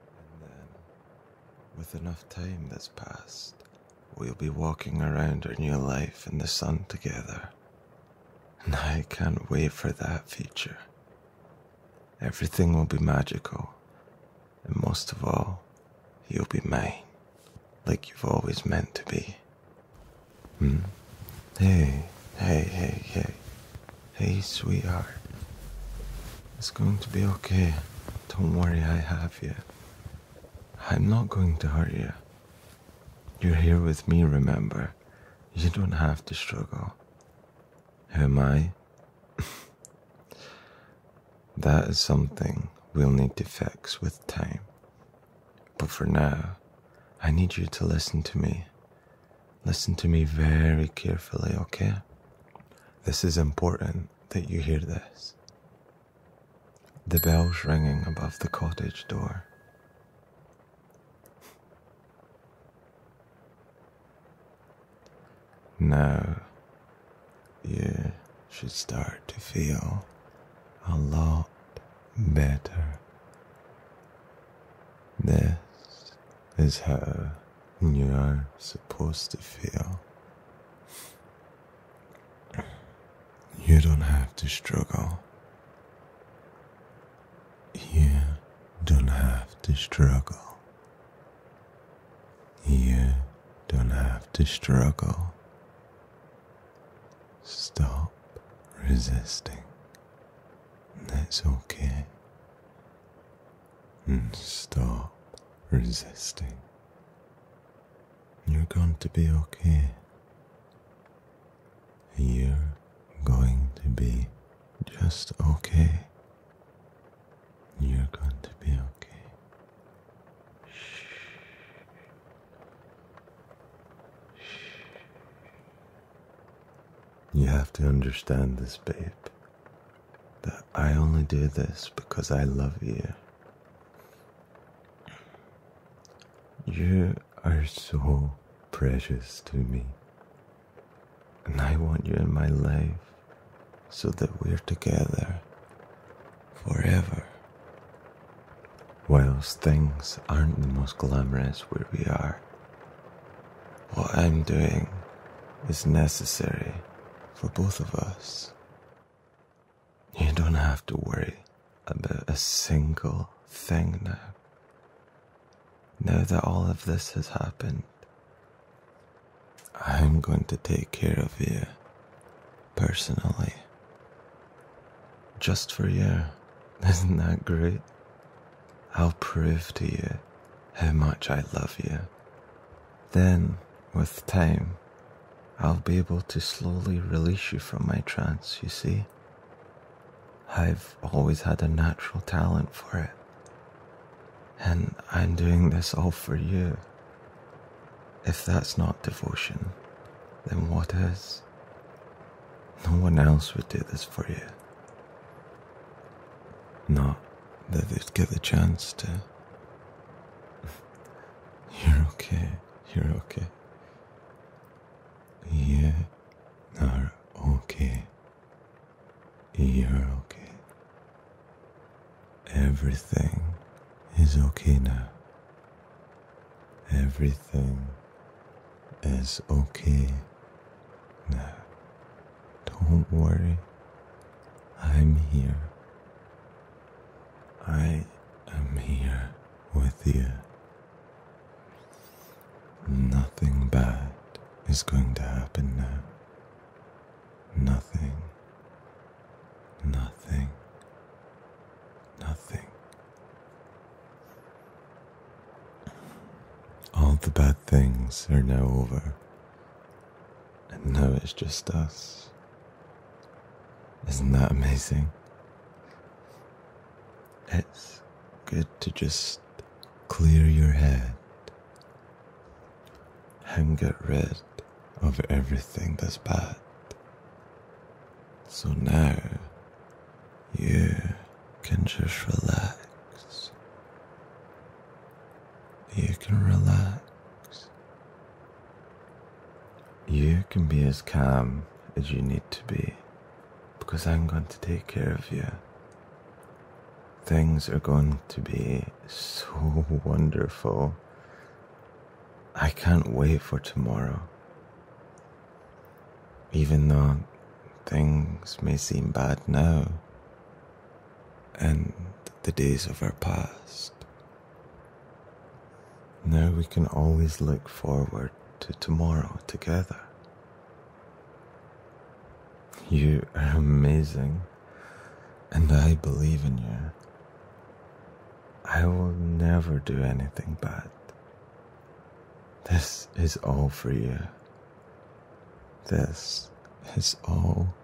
And then, with enough time that's passed, we'll be walking around our new life in the sun together. And I can't wait for that future. Everything will be magical. And most of all, you'll be mine, like you've always meant to be. Hmm? Hey, hey, hey, hey. Hey, sweetheart. It's going to be okay. Don't worry, I have you. I'm not going to hurt you. You're here with me, remember? You don't have to struggle. Who am I? that is something we'll need to fix with time. But for now, I need you to listen to me. Listen to me very carefully, okay? This is important that you hear this. The bells ringing above the cottage door. Now, you should start to feel a lot better. This is how you are supposed to feel. You don't have to struggle. You don't have to struggle. You don't have to struggle. Stop resisting. That's okay and stop resisting. You're going to be okay. You're going to be just okay. You're going to be okay. Shh. Shh. You have to understand this, babe that I only do this because I love you. You are so precious to me, and I want you in my life so that we're together forever. Whilst things aren't the most glamorous where we are, what I'm doing is necessary for both of us. You don't have to worry about a single thing now. Now that all of this has happened, I'm going to take care of you personally. Just for you. Isn't that great? I'll prove to you how much I love you then, with time, I'll be able to slowly release you from my trance, you see? I've always had a natural talent for it. And I'm doing this all for you. If that's not devotion, then what is? No one else would do this for you. Not that they'd get the chance to. You're okay, you're okay. You are okay. You're okay. Everything is okay now. Everything is okay now. Don't worry, I'm here. I am here with you. Nothing bad is going to happen now. Nothing. Nothing. Nothing. All the bad things are now over and know it's just us. Isn't that amazing? It's good to just clear your head and get rid of everything that's bad. So now you can just relax you can relax. You can be as calm as you need to be because I'm going to take care of you. Things are going to be so wonderful. I can't wait for tomorrow. Even though things may seem bad now, and the days of our past. Now we can always look forward to tomorrow together. You are amazing, and I believe in you. I will never do anything bad. This is all for you. This is all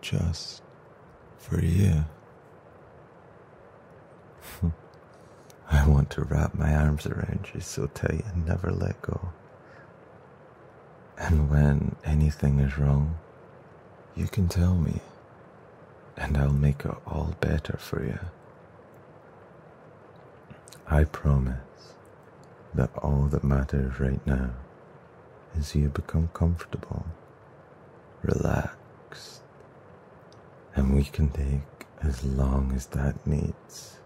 just for you. I want to wrap my arms around you so tight and never let go. And when anything is wrong, you can tell me, and I'll make it all better for you. I promise that all that matters right now is you become comfortable Relax, and we can take as long as that needs.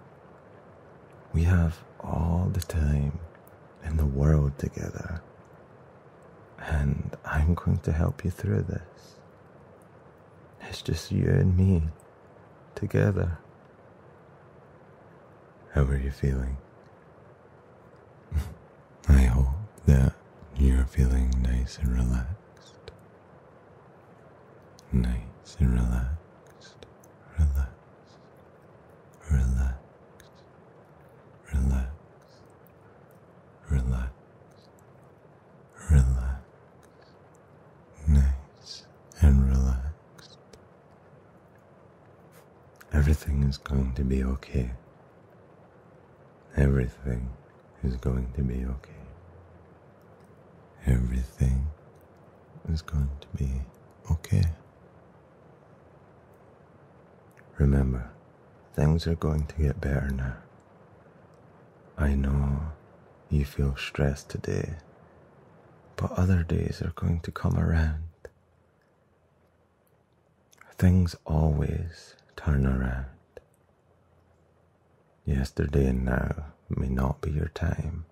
We have all the time in the world together, and I'm going to help you through this. It's just you and me together. How are you feeling? I hope that you're feeling nice and relaxed. Nice and relaxed. Relaxed. Relaxed. Relaxed. Relaxed. Relaxed. Nice and relaxed. Everything is going to be okay. Everything is going to be okay. Everything is going to be okay. Remember, things are going to get better now. I know you feel stressed today, but other days are going to come around. Things always turn around. Yesterday and now may not be your time,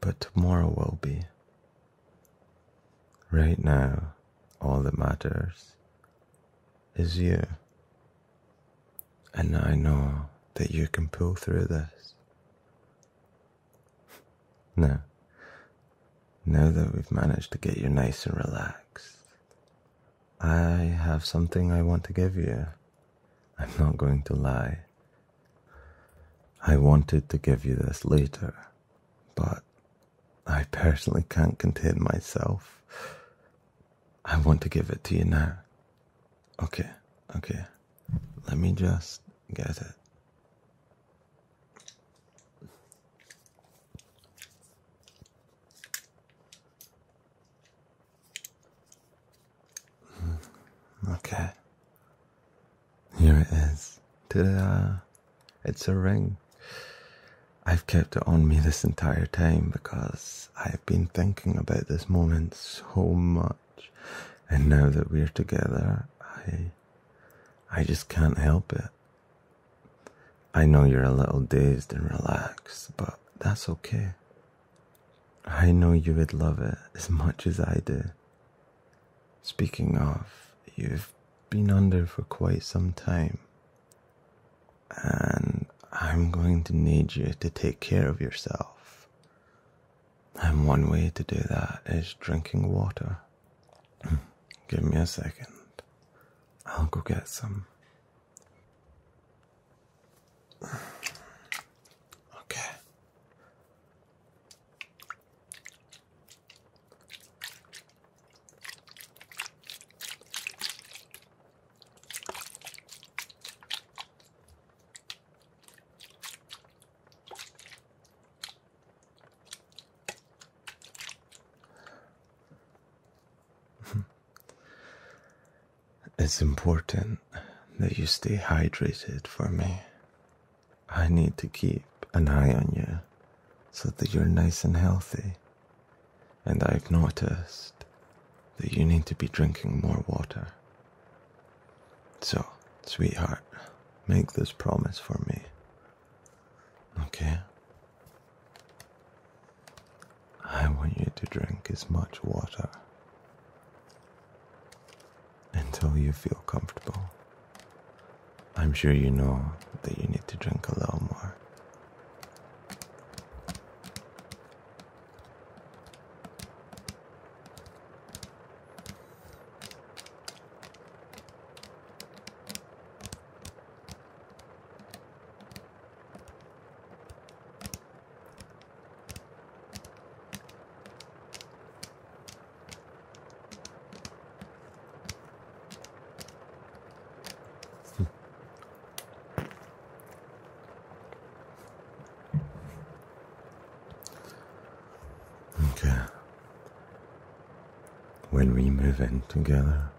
but tomorrow will be. Right now, all that matters is you. And I know that you can pull through this. Now, now that we've managed to get you nice and relaxed, I have something I want to give you. I'm not going to lie. I wanted to give you this later, but I personally can't contain myself. I want to give it to you now. Okay, okay. Let me just get it. Hmm, okay. Here it It's a ring. I've kept it on me this entire time because I've been thinking about this moment so much. And now that we're together, I I just can't help it. I know you're a little dazed and relaxed, but that's okay. I know you would love it as much as I do. Speaking of, you've been under for quite some time, and I'm going to need you to take care of yourself. And one way to do that is drinking water. Give me a second. I'll go get some. Okay. It's important that you stay hydrated for me. I need to keep an eye on you so that you're nice and healthy. And I've noticed that you need to be drinking more water. So, sweetheart, make this promise for me Okay? I want you to drink as much water until you feel comfortable. I'm sure you know that you need to drink a little more. Hmm. okay. When we move in together,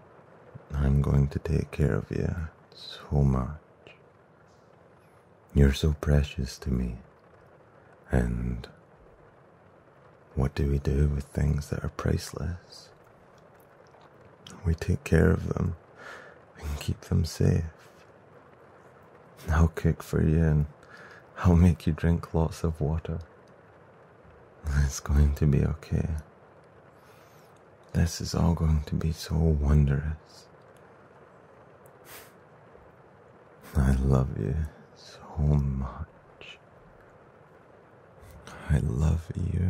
I'm going to take care of you so much. You're so precious to me. And what do we do with things that are priceless? We take care of them and keep them safe. I'll cook for you and I'll make you drink lots of water. It's going to be okay. This is all going to be so wondrous. I love you so much. I love you.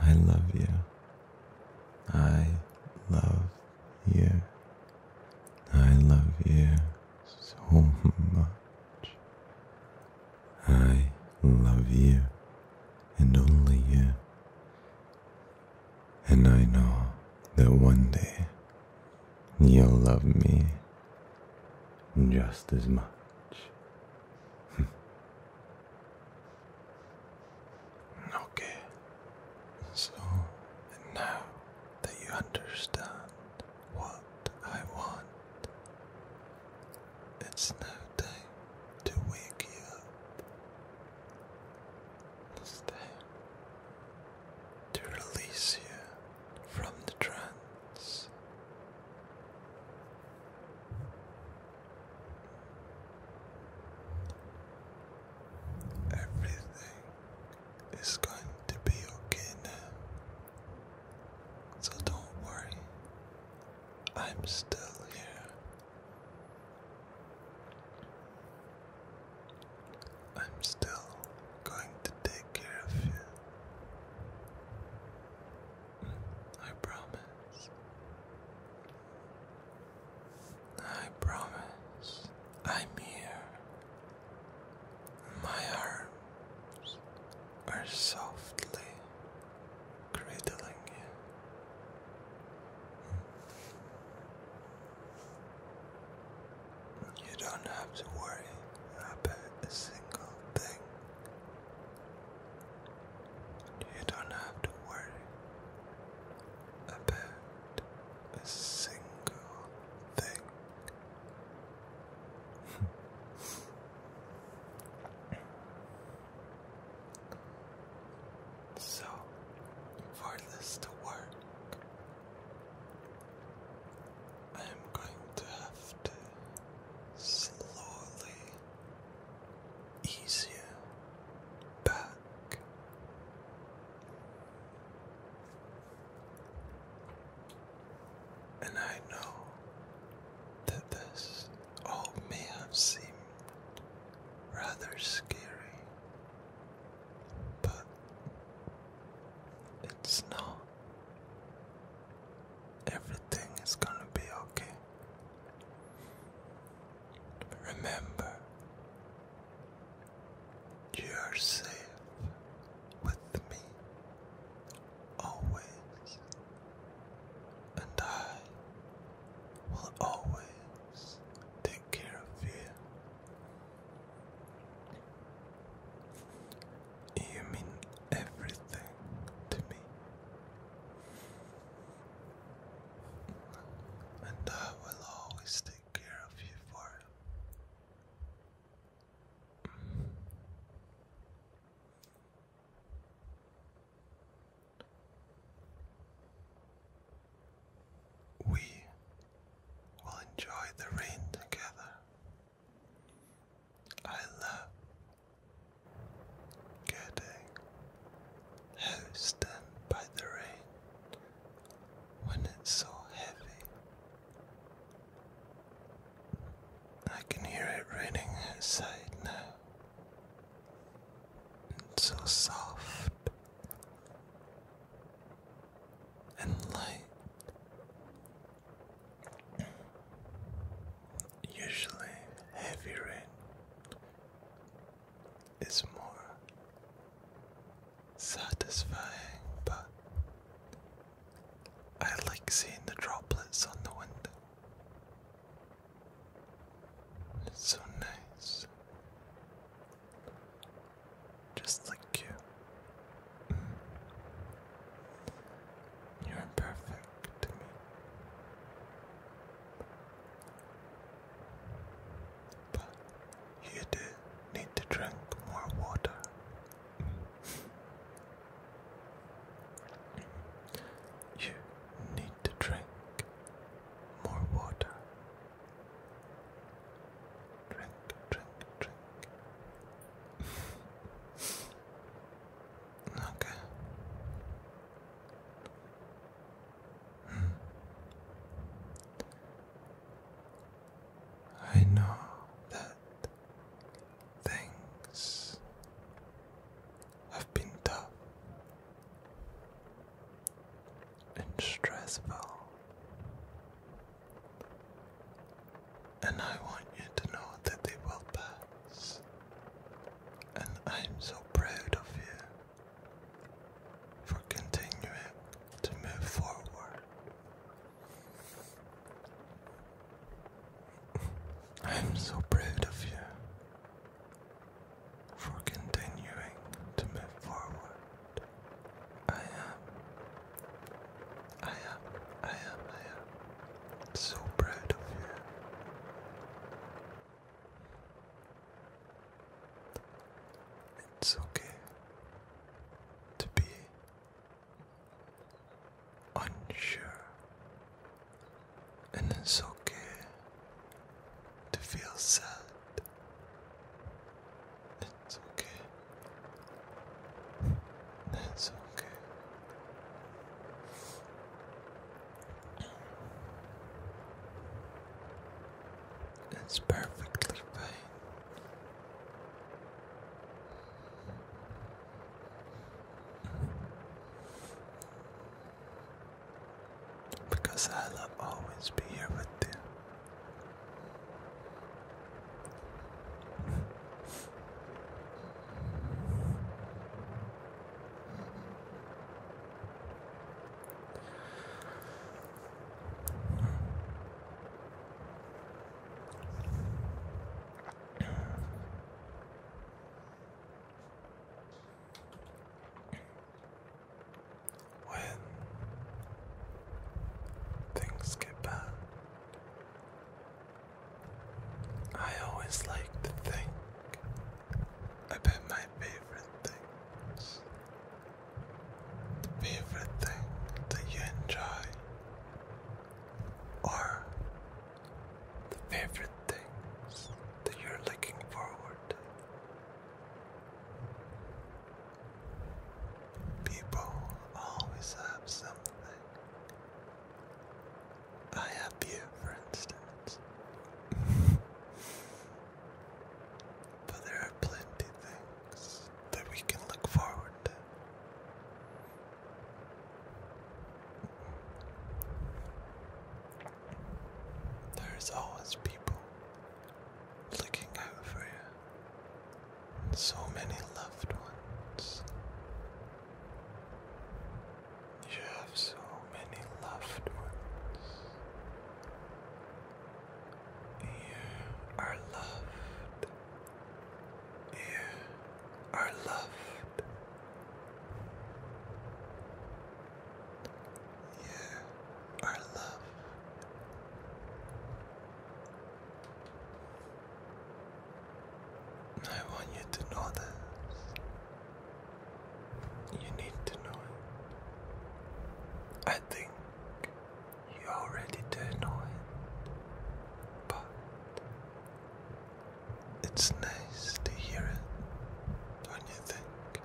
I love you. I love you. I love you so much. I love you and only you. And I know that one day you'll love me just as much. okay, so now that you understand what I want, it's no time to wake you up. It's time to release you from the trance. Everything is going to be okay now. So don't worry, I'm still here. I'm still going to take care of you. I promise. I promise. I'm here. My arms are softly cradling you. You don't have to worry about a single thing. You don't have to worry about a single thing so, for this to work, I am going to have to slowly ease you back. And I know that this all may have seemed rather scary, but it's not. Everything is gonna be okay. Remember, you are safe with me always, and I will always take care of you. You mean everything to me. And I will always take care of you for it. We will enjoy the rain together. I love getting housed by the rain when it's so heavy I can hear it raining outside now. It's so soft and light. Usually, heavy rain is more satisfying, but I like seeing the droplets on the window. It's so nice. Just like you. Mm. You're perfect to me. But you do need to drink more water. You need to drink more water. Drink, drink, drink. okay. Hmm. I know that things have been tough and stressful, and I want you to know that they will pass, and I'm so proud of you for continuing to move forward. I am so proud of you for continuing to move forward. I am, I am, I am, I am so proud of you. It's okay to be unsure. And it's okay to feel sad. It's okay. That's okay. It's perfectly fine. Because I'll always be here with you. When things get bad, I always like to think about my favorite things. The favorite thing that you enjoy, or the favorite things that you're looking forward to. People always have something. I have you, for instance. but there are plenty things that we can look forward to. There's always people looking out for you, and so many loved ones. You have so many loved ones. You are loved. You are loved. Yeah, our love. I want you to know this. You need to know it. I think you already do know it, but it's nice to hear it, don't you think?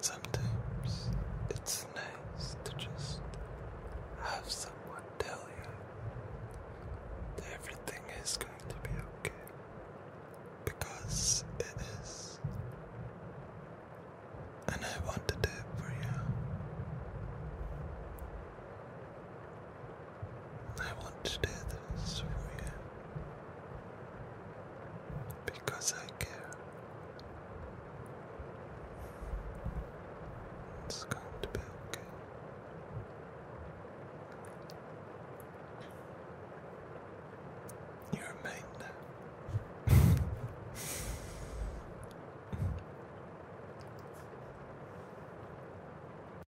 Sometimes it's nice to just have someone tell you everything is going to be okay. Because it is. And I want to do it for you. I want to do this for you because I care. It's going to be okay. You're a now.